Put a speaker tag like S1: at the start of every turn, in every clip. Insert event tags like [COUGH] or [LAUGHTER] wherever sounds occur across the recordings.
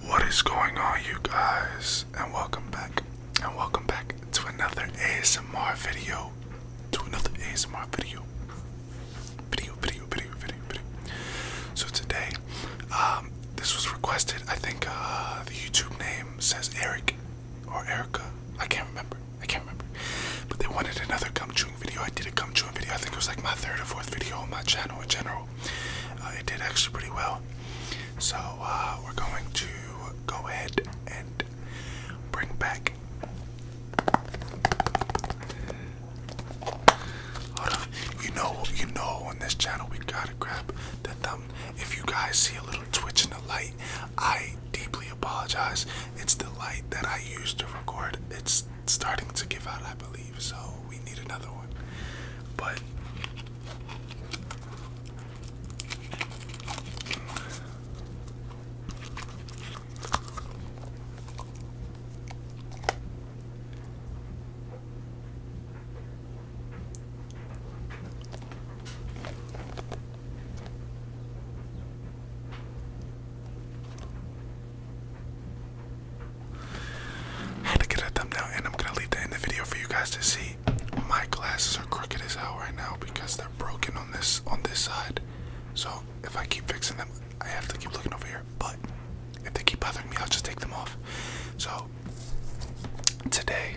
S1: What is going on, you guys? And welcome back. And welcome back to another ASMR video. To another ASMR video. Video, video, video, video, video. So today, um, this was requested. I think uh, the YouTube name says Eric or Erica. I can't remember. I can't remember. But they wanted another cum chewing video. I did a cum chewing video. I think it was like my third or fourth video on my channel in general. Uh, it did actually pretty well. So uh, we're going to go ahead and bring back. Hold on. You know, you know, on this channel we gotta grab the thumb. If you guys see a little twitch in the light, I deeply apologize. It's the light that I used to record. It's starting to give out, I believe, so we need another one. But I had to get a thumbnail, and I'm gonna leave that in the video for you guys to see. My glasses are crooked as hell right now because they're broken on this on this side. So if I keep fixing them, I have to keep looking over here. But if they keep bothering me, I'll just take them off. So today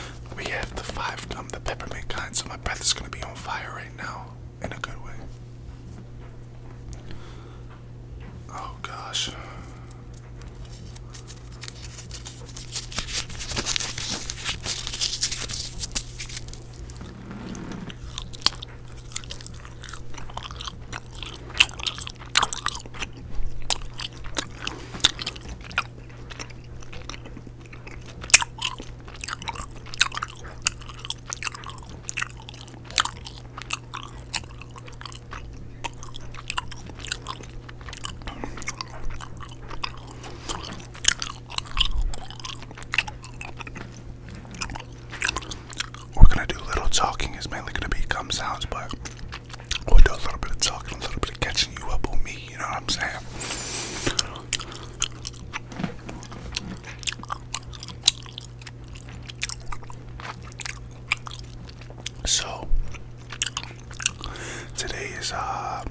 S1: We have the five, um, the peppermint kind, so my breath is gonna be on fire right now, in a good way. Oh gosh. We're gonna do little talking. It's mainly gonna be gum sounds, but We'll do a little bit of talking, a little bit of catching you up on me, you know what I'm saying? So, today is uh,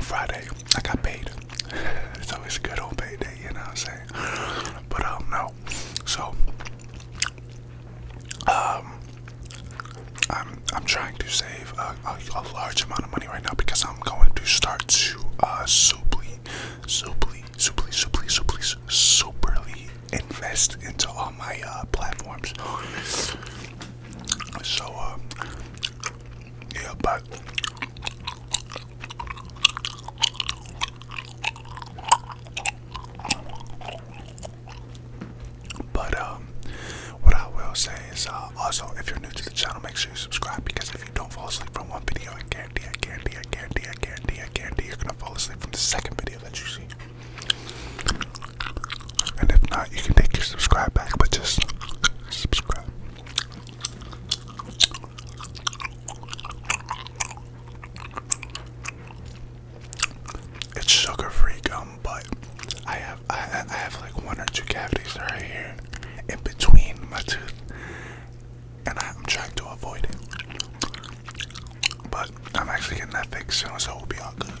S1: Friday. I got paid. [LAUGHS] It's always a good old payday, you know what I'm saying? But um, no. So, um, I'm I'm trying to save a, large amount of money right now because I'm going to start to uh superly, superly, superly, superly, superly, superly invest into all my uh, platforms. So uh, yeah, but. But um, what I will say is uh, also if you're new to the channel, make sure you subscribe because if you don't fall asleep from one video, I guarantee, I guarantee, I guarantee, you're gonna fall asleep from the second video that you see. And if not, you can take your subscribe back, but just subscribe. It's sugar-free gum, but I have I, have like one or two cavities right here in between my teeth, and I'm trying to avoid it. But I'm actually getting that fixed soon, so it will be all good.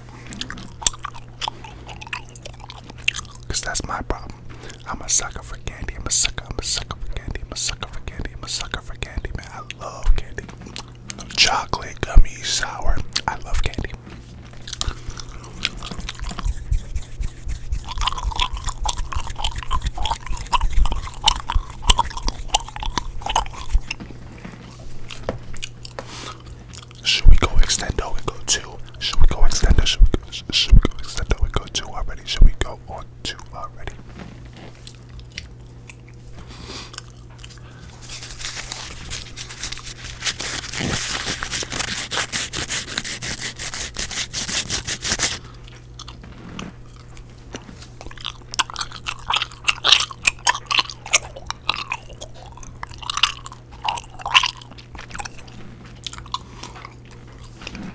S1: Cause that's my problem. I'm a sucker for candy. I'm a sucker. I'm a sucker for candy. I'm a sucker for candy. I'm a sucker for candy, man. I love candy chocolate gummy sour. I love candy. Should we go extend? extendo we go two? Should we go extend? extendo? Should we go, extend? should we go go two already? Should we go on two already?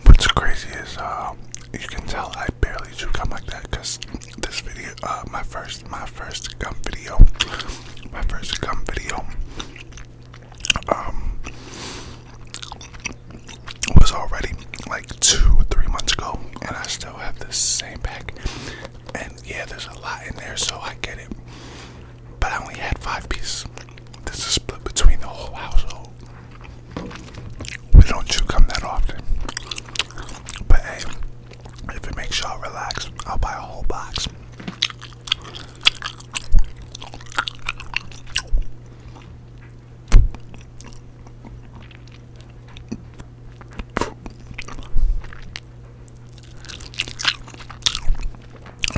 S1: What's crazy is uh, you can tell I barely chew gum like that because this video, uh, my first, my first gum video, my first gum video, um, was already like two or three months ago, and I still have the same pack. And yeah, there's a lot in there, so I get it. But I only had five pieces. This is split between the whole household. We don't chew gum that often. But hey, if it makes y'all relax, I'll buy a whole box.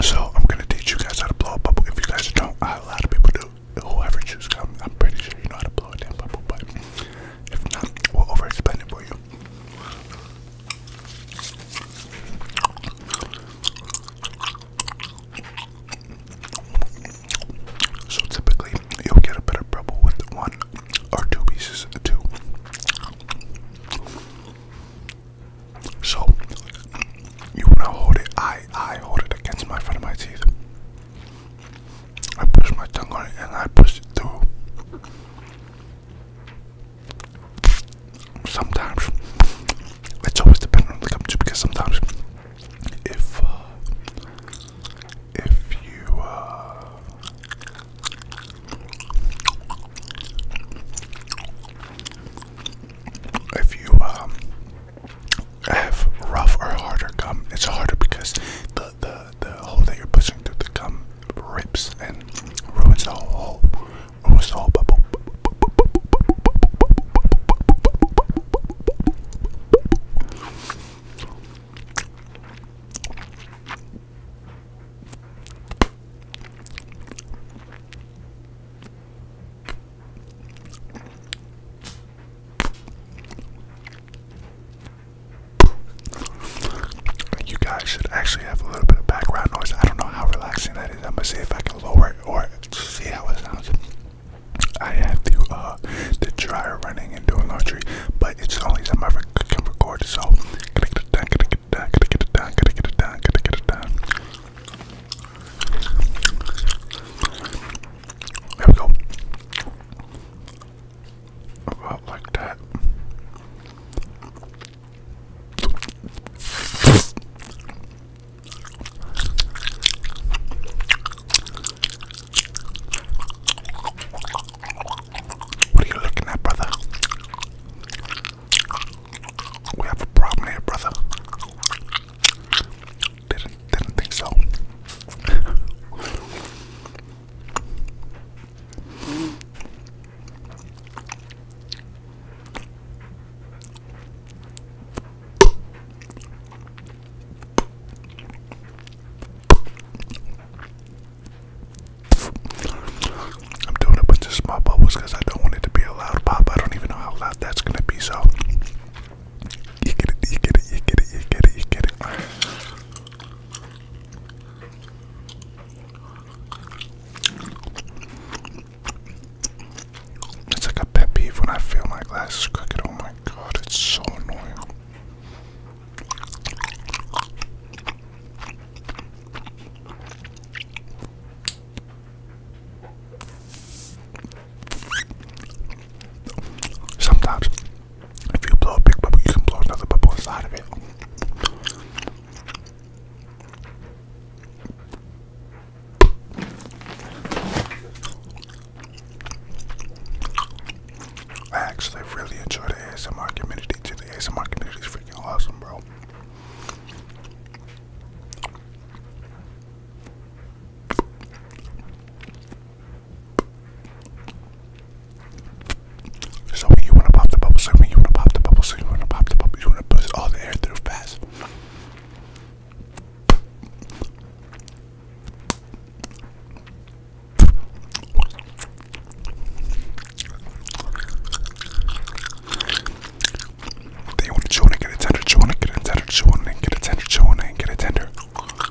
S1: So I'm gonna teach you guys how to blow a bubble. If you guys don't, a lot of people do. Whoever chooses, I'm, pretty sure you know how to blow a damn bubble, but if not, we'll overspend it for you. So typically, you'll get a better bubble with one or two pieces of two. So you wanna hold it? I I hold it against my front of my teeth. I push my tongue on it and I push it through. Sometimes it's always dependent on the company because sometimes if uh, if you uh, if you um, have rough or harder gum, it's harder because the the the hole that you're pushing through the gum rips and ruins the whole ruins the whole bubble. You guys should actually have a little bit of background noise. I don't know how relaxing that is. I'm gonna see if I can lower it or see how it sounds. I have the uh, the dryer running and doing laundry, but it's only time I can record. So got we go about like that. What are you looking at, brother? We have a problem here, brother. Didn't didn't think so. I'm doing a bunch of small bubbles because I don't want it to be a loud pop. I don't even know how loud that's going to be, so it's like a pet peeve when I feel my glasses crooked. Oh my god, it's so annoying. Sometimes if you blow a big bubble, you can blow another bubble inside of it. I actually really enjoy the ASMR community too. The ASMR community is freaking awesome, bro. So when you wanna pop the bubble, so when you wanna pop the bubble, so you wanna pop the bubble, you wanna buzz all the air through fast. They want to chew on it, get it tender, chew on it, get it tender, chew on it, get it tender, chew on it, get it tender.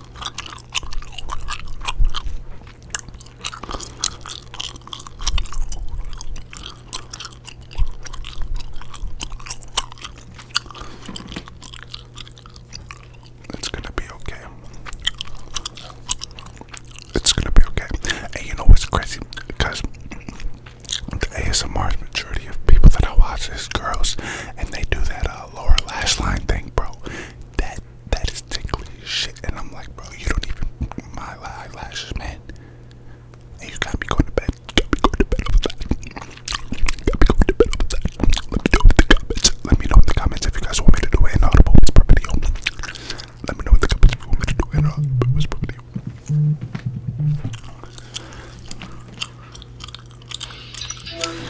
S1: It's gonna be okay. It's gonna be okay. And you know what's crazy? Because the ASMR's majority of people that I watch is girls, and they do that. Uh, uh, lower lash line thing, bro. That that is tickly shit, and I'm like, bro, you don't even my eyelashes, man. And you got me going to bed. You got me going to bed over that. Got me going to bed over that. Let me know in the comments. Let me know in the comments if you guys want me to do an audible whisper video. Let me know in the comments if you want me to do an audible whisper video.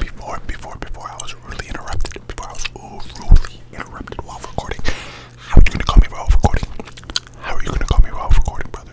S1: Before, before, before I was rudely interrupted, before I was rudely interrupted while recording. How are you gonna call me while recording? How are you gonna call me while recording, brother?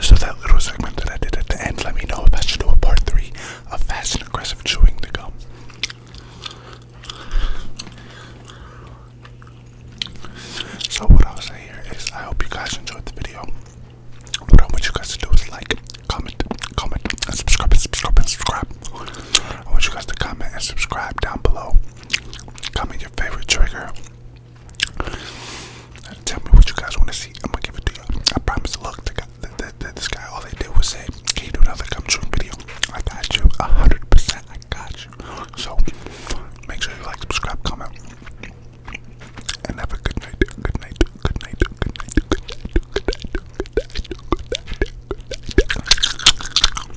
S1: So that little segment that I did at the end, let me know if I should do a part three of fast and aggressive chewing the gum. So what I'll say here is I hope you guys enjoyed the video. What I want you guys to do is like, comment, comment, and subscribe, and subscribe, and subscribe. I want you guys to comment and subscribe down below. Comment favorite trigger. Uh, tell me what you guys want to see. I'm gonna give it to you. I promise. Look, this guy, all they did was say, "Can you do another come video?" I got you, hundred percent. I got you. So make sure you like, subscribe, comment, and have a good night. Good night. Good night. Good night. Good night. Good night. Good night. Good night. Good night. Good night.